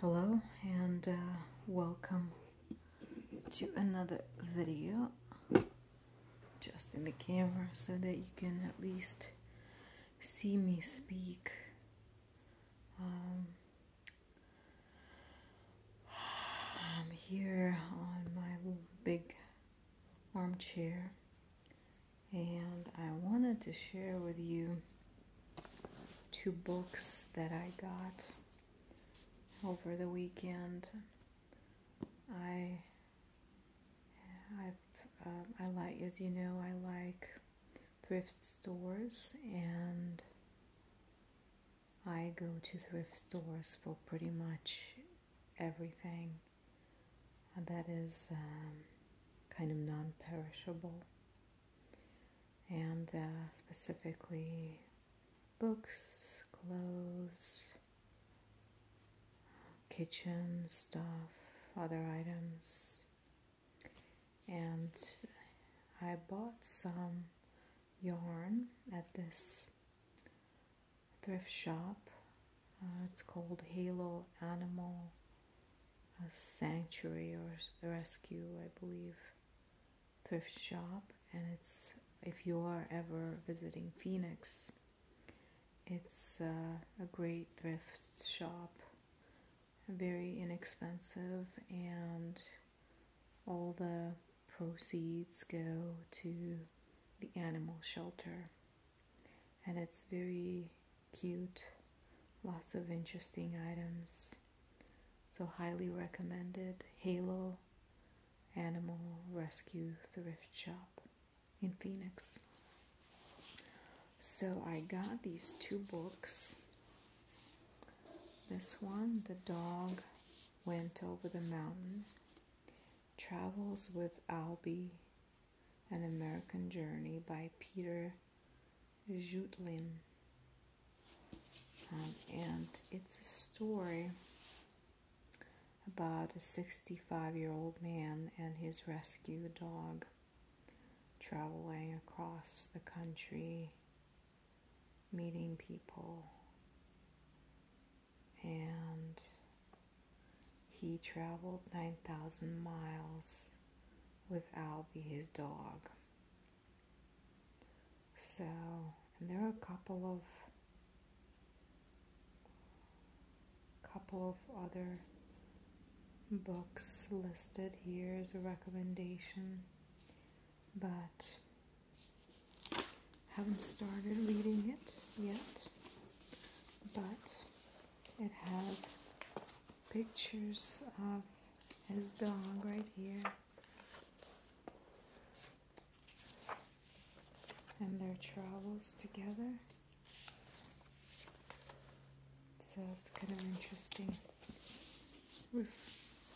Hello and uh, welcome to another video. Just in the camera so that you can at least see me speak. Um, I'm here on my big armchair and I wanted to share with you two books that I got over the weekend. I i um, I like as you know I like thrift stores and I go to thrift stores for pretty much everything that is um, kind of non-perishable and uh, specifically books, clothes, kitchen stuff, other items. And I bought some yarn at this thrift shop. Uh, it's called Halo Animal a sanctuary or rescue, I believe, thrift shop. And it's, if you are ever visiting Phoenix, it's uh, a great thrift shop, very inexpensive, and all the proceeds go to the animal shelter. And it's very cute lots of interesting items so highly recommended halo animal rescue thrift shop in phoenix so i got these two books this one the dog went over the mountain travels with albie an American Journey by Peter Jutlin. Um, and it's a story about a 65 year old man and his rescue dog traveling across the country, meeting people, and he traveled 9,000 miles with Albie, his dog. So, and there are a couple of couple of other books listed here as a recommendation, but haven't started reading it yet. But it has pictures of his dog right here. And their travels together. So it's kind of interesting.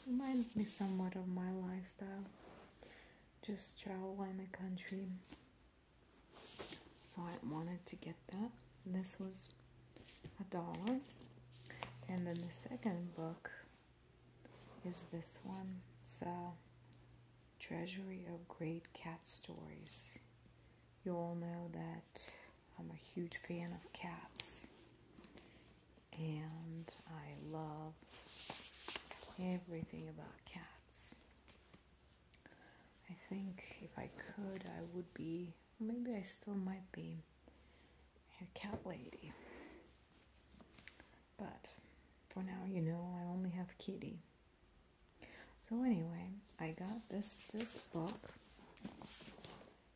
Reminds me somewhat of my lifestyle. Just travel in the country so I wanted to get that. This was a dollar. And then the second book is this one. So uh, Treasury of Great Cat Stories. You all know that I'm a huge fan of cats. And I love everything about cats. I think if I could, I would be Maybe I still might be a cat lady. But for now, you know, I only have Kitty. So anyway, I got this this book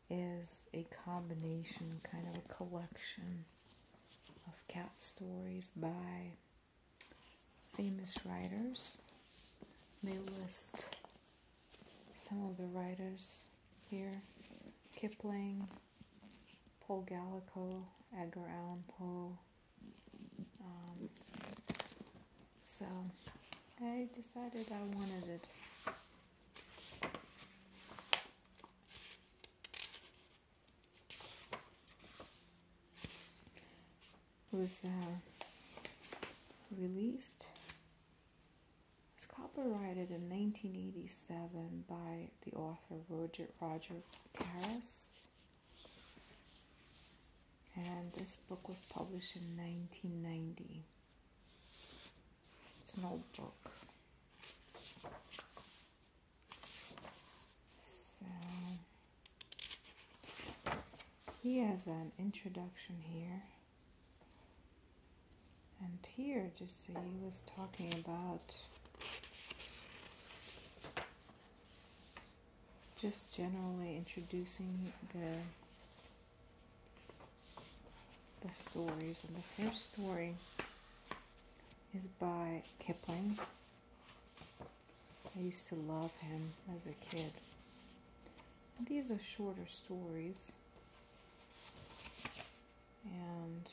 is a combination kind of a collection of cat stories by famous writers. They list some of the writers here Kipling, Paul Gallico, Edgar Allan Poe. Um, so I decided I wanted it was uh, released was copyrighted in 1987 by the author Roger Roger Carris. And this book was published in 1990. It's an old book. So he has an introduction here. And here, just so he was talking about just generally introducing the the stories. And the first story is by Kipling. I used to love him as a kid. these are shorter stories. And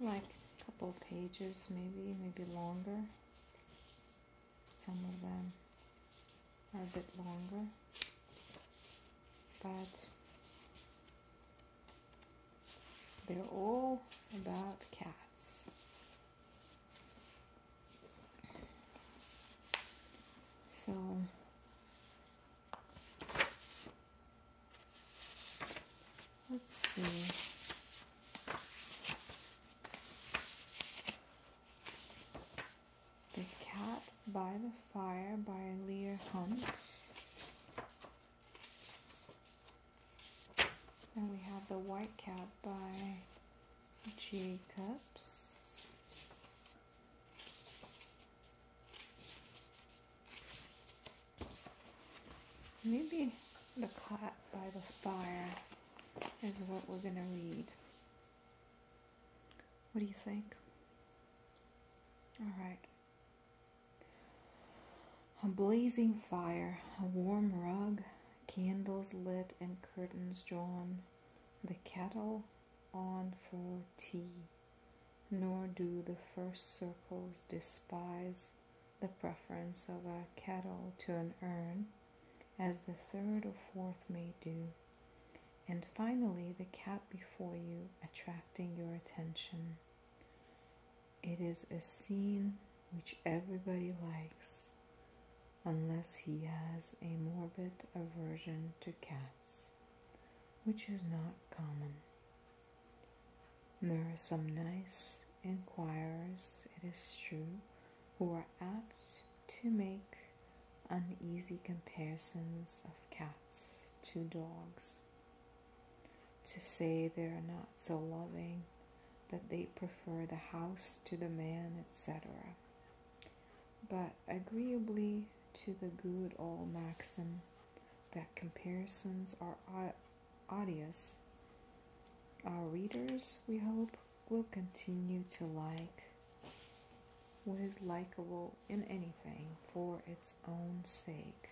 like a couple pages maybe, maybe longer. Some of them are a bit longer. But they're all about cats. So let's see. The Cat by the Fire by Lear Hunt. Then we have the White Cat by Jacobs. Maybe the Cat by the Fire is what we're going to read. What do you think? All right. A blazing fire, a warm rug, candles lit and curtains drawn, the kettle on for tea, nor do the first circles despise the preference of a kettle to an urn, as the third or fourth may do, and finally the cat before you attracting your attention. It is a scene which everybody likes, unless he has a morbid aversion to cats, which is not common. There are some nice inquirers, it is true, who are apt to make uneasy comparisons of cats to dogs to say they are not so loving, that they prefer the house to the man, etc. But agreeably to the good old maxim that comparisons are odious, our readers, we hope, will continue to like what is likable in anything for its own sake,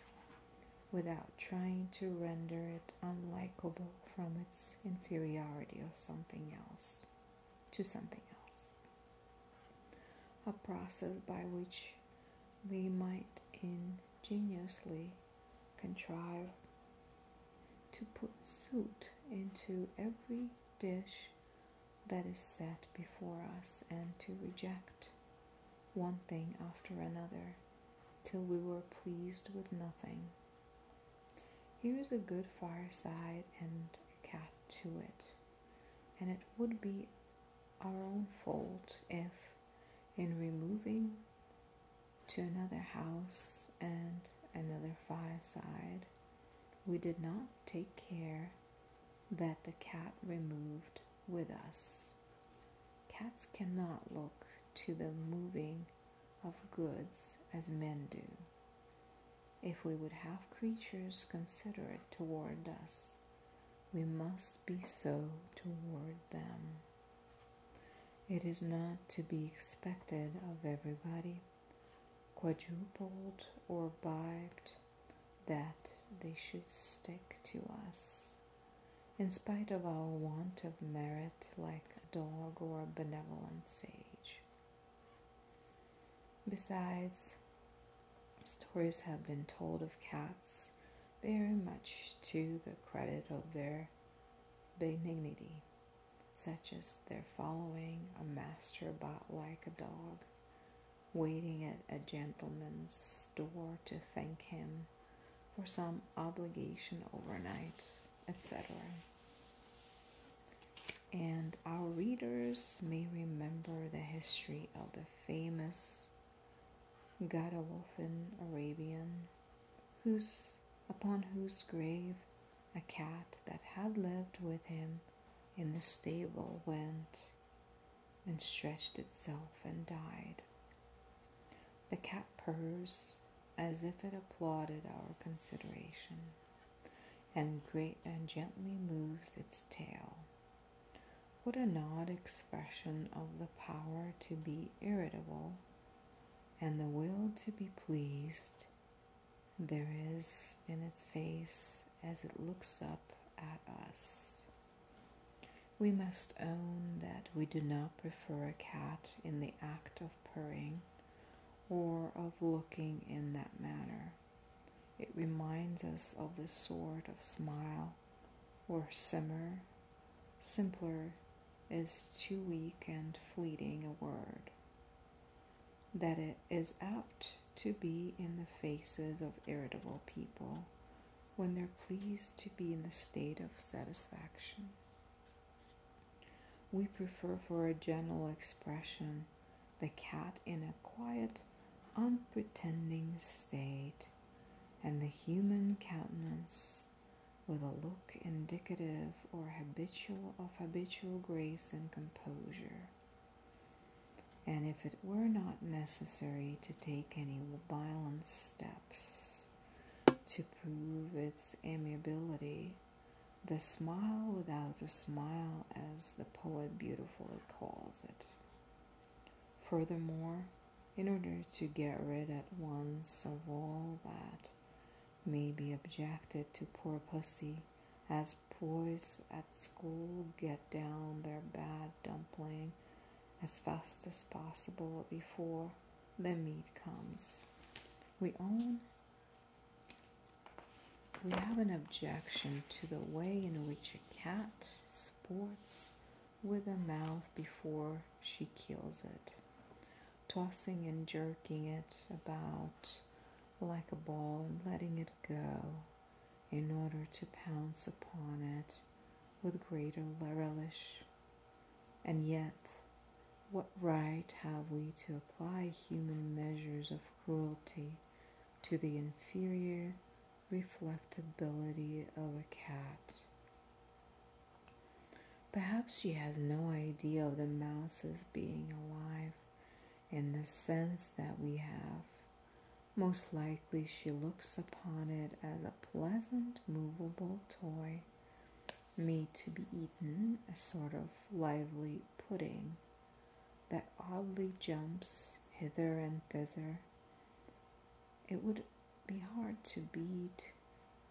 without trying to render it unlikable from its inferiority or something else to something else. A process by which we might ingeniously contrive to put suit into every dish that is set before us and to reject one thing after another till we were pleased with nothing. Here's a good fireside and a cat to it, and it would be our own fault if, in removing to another house and another fireside, we did not take care that the cat removed with us. Cats cannot look to the moving of goods as men do. If we would have creatures considerate toward us, we must be so toward them. It is not to be expected of everybody, quadrupled or bibed, that they should stick to us in spite of our want of merit, like a dog or a benevolent sage. Besides, stories have been told of cats very much to the credit of their benignity, such as their following a master about like a dog, waiting at a gentleman's door to thank him for some obligation overnight, etc. And our readers may remember the history of the famous Guadalupean Arabian, whose, upon whose grave a cat that had lived with him in the stable went and stretched itself and died. The cat purrs as if it applauded our consideration and great and gently moves its tail. What an odd expression of the power to be irritable and the will to be pleased there is in its face as it looks up at us. We must own that we do not prefer a cat in the act of purring or of looking in that manner. It reminds us of the sort of smile or simmer, simpler is too weak and fleeting a word, that it is apt to be in the faces of irritable people when they're pleased to be in the state of satisfaction. We prefer for a general expression the cat in a quiet, unpretending state, and the human countenance with a look indicative or habitual of habitual grace and composure and if it were not necessary to take any violent steps to prove its amiability, the smile without a smile, as the poet beautifully calls it. Furthermore, in order to get rid at once of all that may be objected to poor pussy, as boys at school get down their bad dumpling as fast as possible before the meat comes. We own, we have an objection to the way in which a cat sports with a mouse before she kills it, tossing and jerking it about like a ball and letting it go in order to pounce upon it with greater relish. And yet, what right have we to apply human measures of cruelty to the inferior reflectability of a cat? Perhaps she has no idea of the mouse's being alive in the sense that we have, most likely, she looks upon it as a pleasant, movable toy made to be eaten, a sort of lively pudding that oddly jumps hither and thither. It would be hard to beat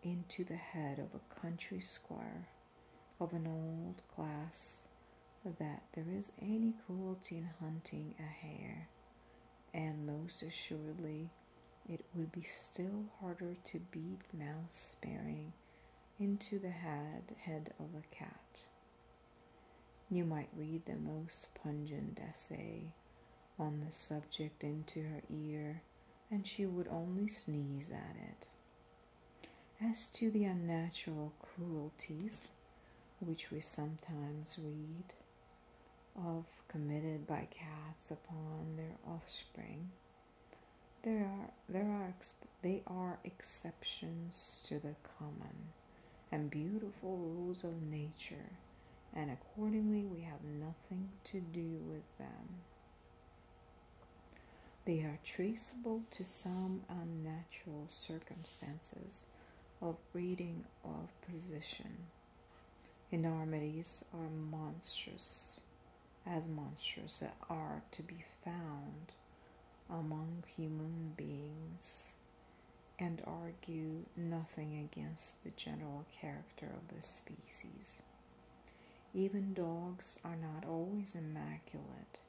into the head of a country squire of an old class that there is any cruelty in hunting a hare and most assuredly it would be still harder to beat mouse sparing into the head, head of a cat. You might read the most pungent essay on the subject into her ear, and she would only sneeze at it. As to the unnatural cruelties which we sometimes read, of committed by cats upon their offspring, there are, there are, they are exceptions to the common and beautiful rules of nature, and accordingly we have nothing to do with them. They are traceable to some unnatural circumstances of breeding of position. Enormities are monstrous, as monstrous are to be found among human beings, and argue nothing against the general character of the species. Even dogs are not always immaculate,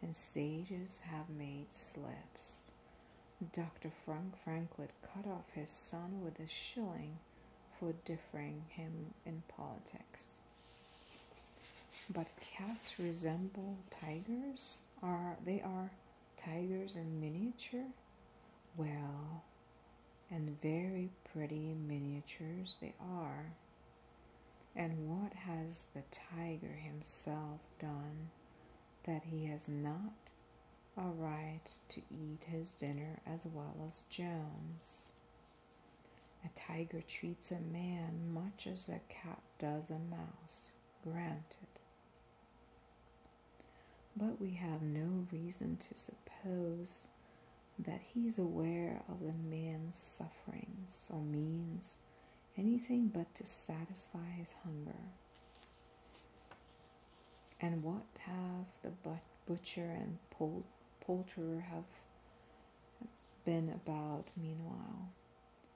and sages have made slips. Dr. Frank Franklin cut off his son with a shilling for differing him in politics. But cats resemble tigers? Are they are tigers in miniature? Well, and very pretty miniatures they are. And what has the tiger himself done that he has not a right to eat his dinner as well as Jones. A tiger treats a man much as a cat does a mouse, granted. But we have no reason to suppose that he is aware of the man's sufferings or means anything but to satisfy his hunger. And what have the butcher and poulterer have been about meanwhile?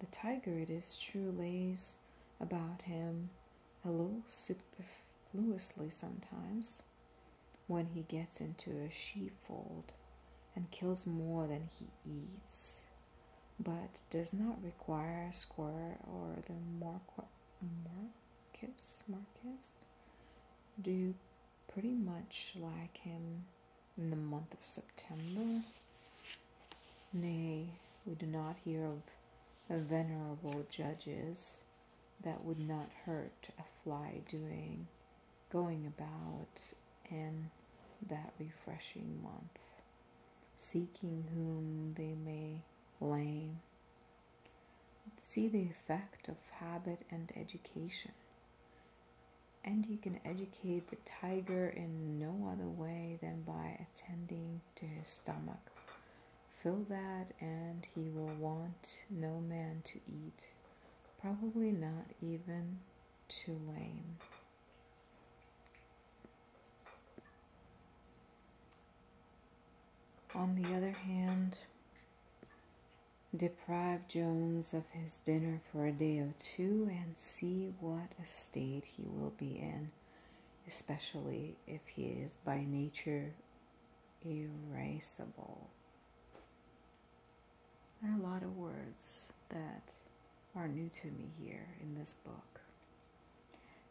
The tiger, it is true, lays about him a little superfluously sometimes when he gets into a sheepfold and kills more than he eats but does not require a square or the more Marcus Marcus do pretty much like him in the month of September. Nay, we do not hear of venerable judges that would not hurt a fly doing going about in that refreshing month seeking whom they may blame. See the effect of habit and education. And you can educate the tiger in no other way than by attending to his stomach. Fill that, and he will want no man to eat, probably not even too lame. On the other hand, deprive Jones of his dinner for a day or two and see what a state he will be in, especially if he is by nature irascible. There are a lot of words that are new to me here in this book.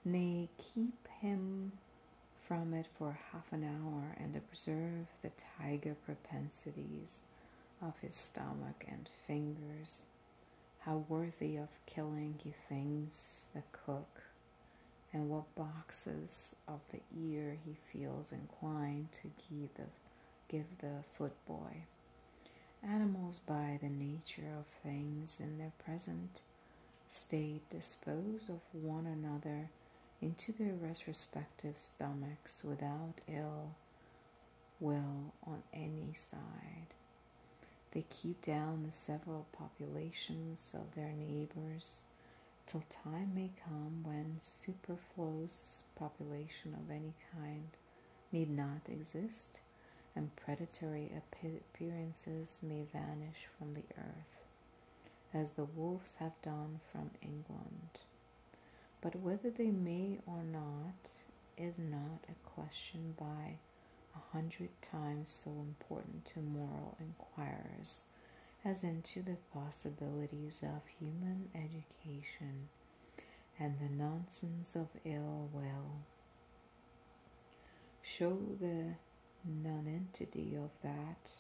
Nay, keep him from it for half an hour and observe the tiger propensities of his stomach and fingers, how worthy of killing he thinks the cook, and what boxes of the ear he feels inclined to give the, give the foot boy. Animals, by the nature of things in their present state, dispose of one another into their respective stomachs without ill will on any side. They keep down the several populations of their neighbors till time may come when superfluous population of any kind need not exist, and predatory appearances may vanish from the earth, as the wolves have done from England. But whether they may or not is not a question by a hundred times so important to moral inquirers as into the possibilities of human education and the nonsense of ill will. Show the nonentity of that,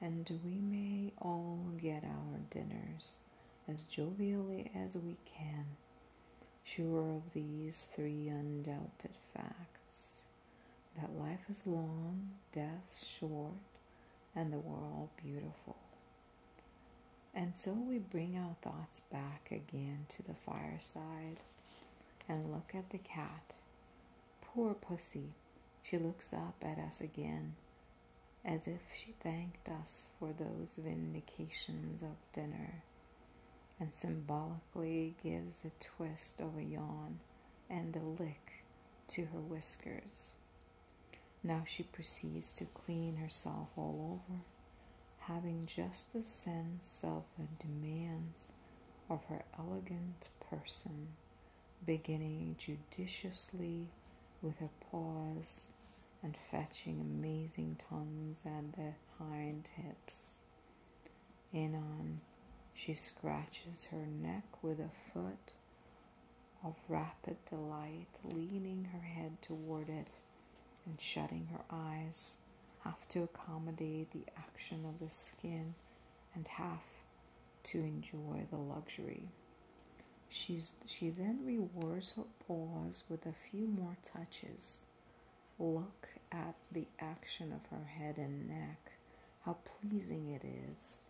and we may all get our dinners as jovially as we can, sure of these three undoubted facts that life is long, death short, and the world beautiful. And so we bring our thoughts back again to the fireside and look at the cat. Poor pussy, she looks up at us again as if she thanked us for those vindications of dinner and symbolically gives a twist of a yawn and a lick to her whiskers. Now she proceeds to clean herself all over having just the sense of the demands of her elegant person, beginning judiciously with her paws and fetching amazing tongues at the hind hips. on, she scratches her neck with a foot of rapid delight, leaning her head toward it and shutting her eyes, half to accommodate the action of the skin and half to enjoy the luxury. She's, she then rewards her pause with a few more touches. Look at the action of her head and neck, how pleasing it is.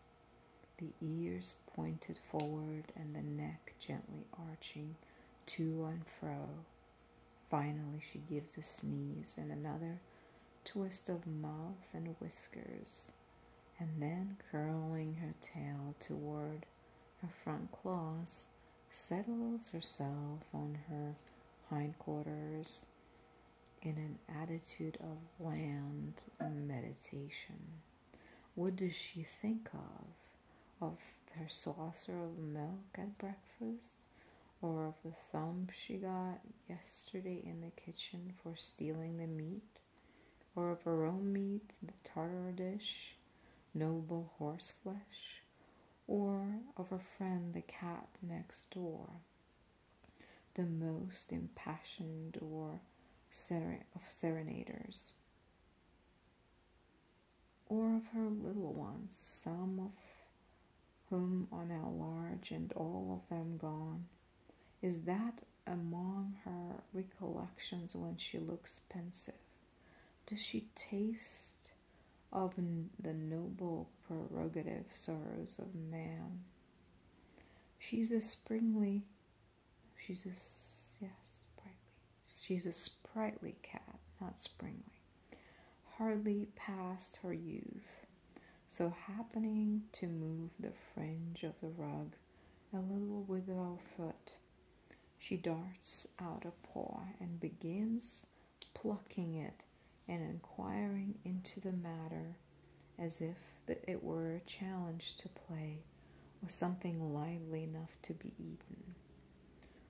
The ears pointed forward and the neck gently arching to and fro. Finally, she gives a sneeze and another twist of mouth and whiskers, and then curling her tail toward her front claws, settles herself on her hindquarters in an attitude of bland meditation. What does she think of? Of her saucer of milk at breakfast? Or of the thump she got yesterday in the kitchen for stealing the meat? Or of her own meat, the tartar dish, noble horse flesh? Or of her friend, the cat next door? The most impassioned or of serenaders or of her little ones, some of whom are now large and all of them gone? Is that among her recollections when she looks pensive? Does she taste of the noble prerogative sorrows of man? She's a springly She's a yeah, sprightly. She's a sprightly cat, not springly. Hardly past her youth. So happening to move the fringe of the rug a little with her foot, she darts out a paw and begins plucking it and inquiring into the matter as if it were a challenge to play was something lively enough to be eaten.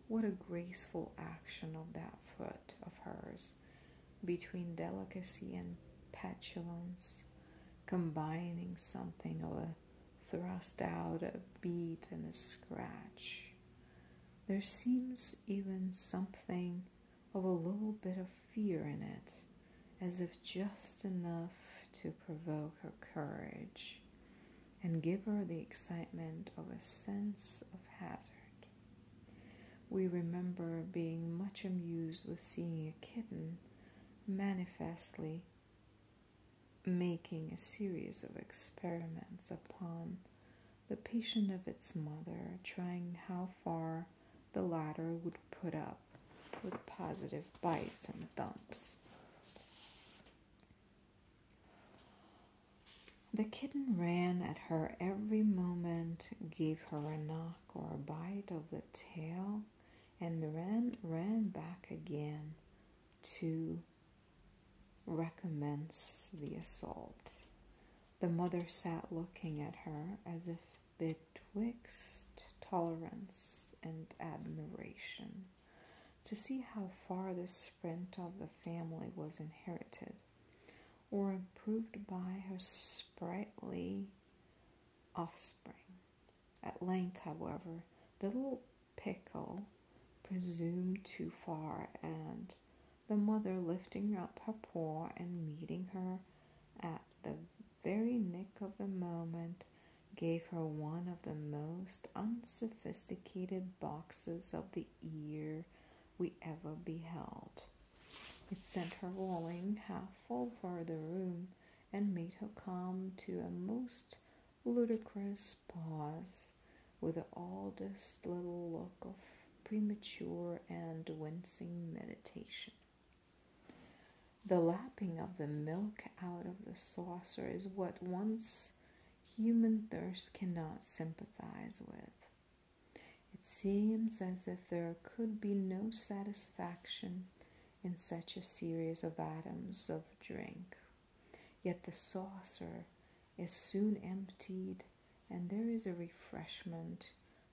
What a graceful action of that foot of hers, between delicacy and petulance, combining something of a thrust out, a beat, and a scratch. There seems even something of a little bit of fear in it, as if just enough to provoke her courage and give her the excitement of a sense of hazard. We remember being much amused with seeing a kitten manifestly making a series of experiments upon the patient of its mother, trying how far the latter would put up with positive bites and thumps. The kitten ran at her every moment, gave her a knock or a bite of the tail, and ran, ran back again to recommence the assault. The mother sat looking at her as if betwixt tolerance and admiration to see how far this sprint of the family was inherited or improved by her sprightly offspring. At length, however, the little pickle presumed too far, and the mother lifting up her paw and meeting her at the very nick of the moment, gave her one of the most unsophisticated boxes of the ear we ever beheld. It sent her rolling half over the room and made her come to a most ludicrous pause with the oddest little look of premature and wincing meditation. The lapping of the milk out of the saucer is what once human thirst cannot sympathize with. It seems as if there could be no satisfaction in such a series of atoms of drink. Yet the saucer is soon emptied, and there is a refreshment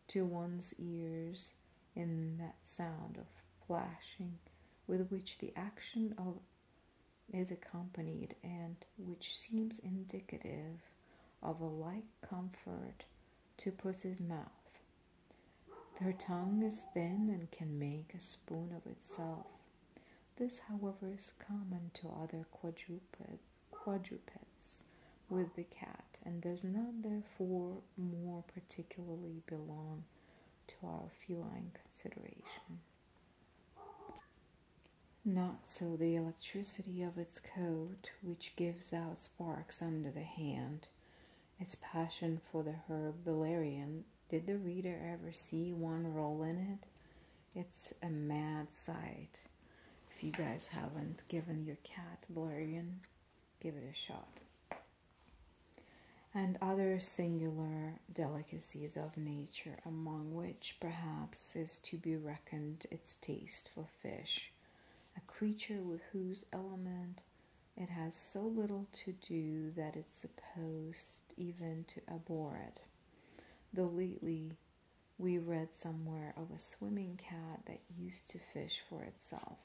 to one's ears in that sound of plashing with which the action of is accompanied and which seems indicative of a like comfort to puss's mouth. Her tongue is thin and can make a spoon of itself. This, however, is common to other quadrupeds, quadrupeds with the cat and does not therefore more particularly belong to our feline consideration. Not so the electricity of its coat, which gives out sparks under the hand. Its passion for the herb valerian, did the reader ever see one roll in it? It's a mad sight. If you guys haven't given your cat valerian, give it a shot and other singular delicacies of nature, among which perhaps is to be reckoned its taste for fish, a creature with whose element it has so little to do that it's supposed even to abhor it. Though lately we read somewhere of a swimming cat that used to fish for itself.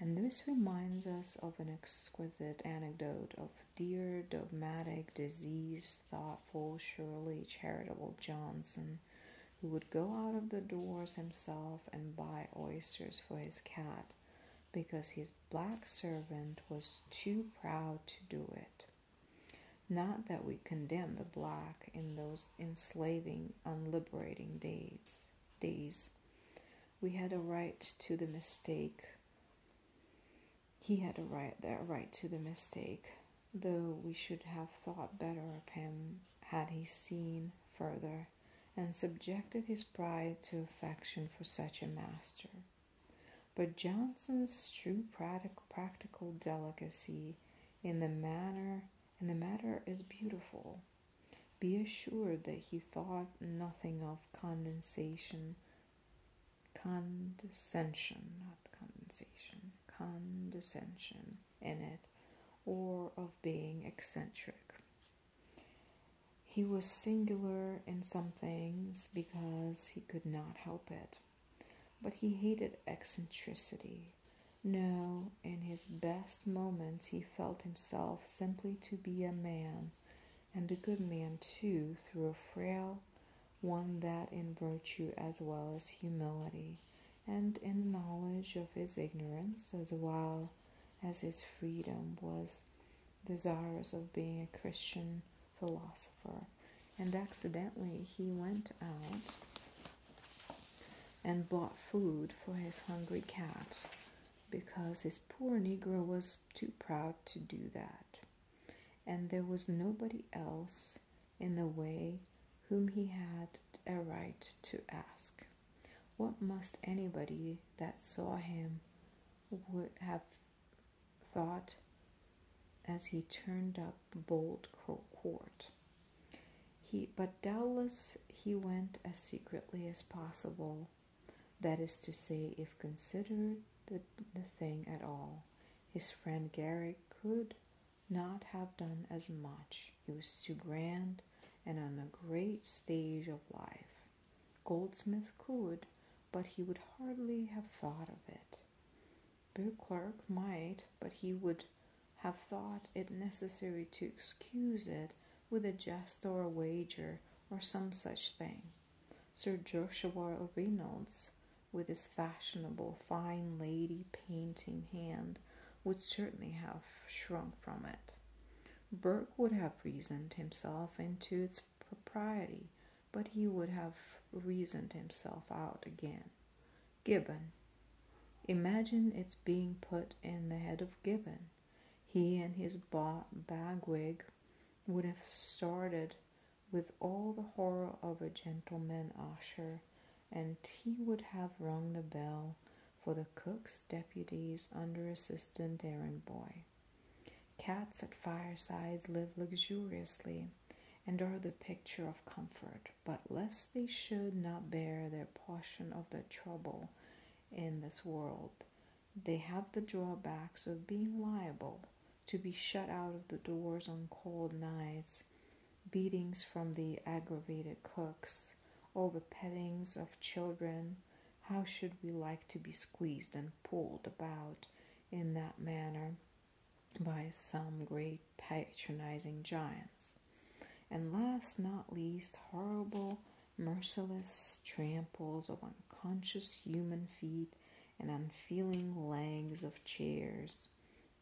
And this reminds us of an exquisite anecdote of dear, dogmatic, diseased, thoughtful, surely charitable Johnson, who would go out of the doors himself and buy oysters for his cat because his black servant was too proud to do it. Not that we condemn the black in those enslaving, unliberating deeds, days, we had a right to the mistake. He had a right that right to the mistake, though we should have thought better of him had he seen further and subjected his pride to affection for such a master. But Johnson's true practical delicacy in the manner in the matter is beautiful. Be assured that he thought nothing of condensation, condescension, not condensation, condescension in it, or of being eccentric. He was singular in some things because he could not help it, but he hated eccentricity. No, in his best moments, he felt himself simply to be a man, and a good man too, through a frail one that in virtue as well as humility, and in knowledge of his ignorance as well as his freedom, was desirous of being a Christian philosopher. And accidentally, he went out and bought food for his hungry cat because his poor Negro was too proud to do that, and there was nobody else in the way whom he had a right to ask. What must anybody that saw him would have thought as he turned up Bold Court? He, but doubtless he went as secretly as possible, that is to say, if considered the, the thing at all. His friend Garrick could not have done as much. He was too grand and on a great stage of life. Goldsmith could, but he would hardly have thought of it. Beauclerk might, but he would have thought it necessary to excuse it with a jest or a wager or some such thing. Sir Joshua Reynolds, with his fashionable, fine lady painting hand, would certainly have shrunk from it. Burke would have reasoned himself into its propriety, but he would have reasoned himself out again. Gibbon. Imagine its being put in the head of Gibbon. He and his ba- bagwig would have started with all the horror of a gentleman usher, and he would have rung the bell for the cook's deputies under assistant errand boy. Cats at firesides live luxuriously and are the picture of comfort, but lest they should not bear their portion of the trouble in this world. They have the drawbacks of being liable to be shut out of the doors on cold nights, beatings from the aggravated cooks, or the pettings of children. How should we like to be squeezed and pulled about in that manner by some great patronizing giants? And last not least, horrible, merciless tramples of unconscious human feet and unfeeling legs of chairs.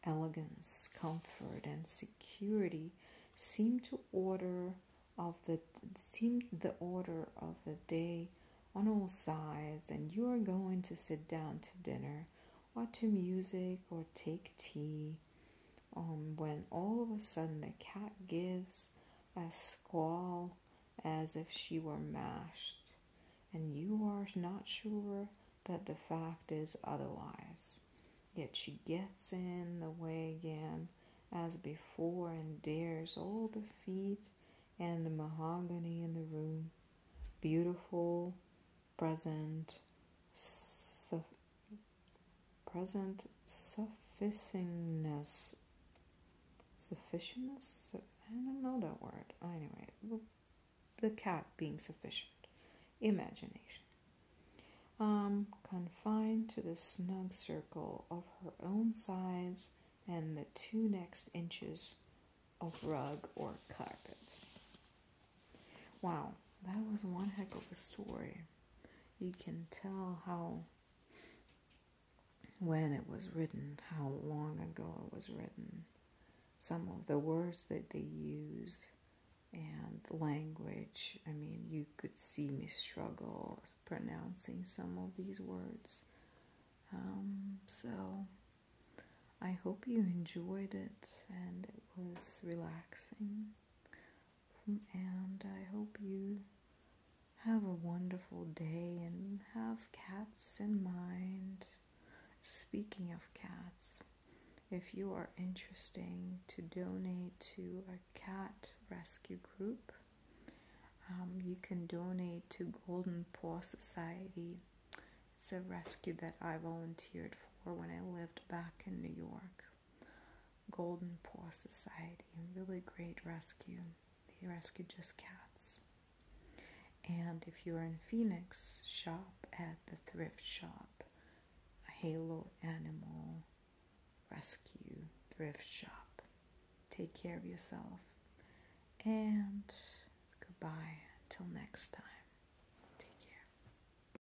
Elegance, comfort, and security seem to order of the seem the order of the day on all sides, and you are going to sit down to dinner or to music or take tea. Um, when all of a sudden the cat gives a squall as if she were mashed, and you are not sure that the fact is otherwise. Yet she gets in the way again as before and dares all the feet and the mahogany in the room, beautiful, present, so present sufficingness. Sufficientness? I don't know that word. Anyway, the cat being sufficient. Imagination. Um, confined to the snug circle of her own size and the two next inches of rug or carpet. Wow, that was one heck of a story. You can tell how, when it was written, how long ago it was written, some of the words that they use, and language. I mean, you could see me struggle pronouncing some of these words. Um, so, I hope you enjoyed it and it was relaxing and I hope you have a wonderful day and have cats in mind. Speaking of cats, if you are interesting to donate to a cat rescue group, um, you can donate to Golden Paw Society. It's a rescue that I volunteered for when I lived back in New York. Golden Paw Society, really great rescue. They rescue just cats. And if you're in Phoenix, shop at the thrift shop, Halo Animal Rescue Thrift Shop. Take care of yourself. And goodbye. Until next time.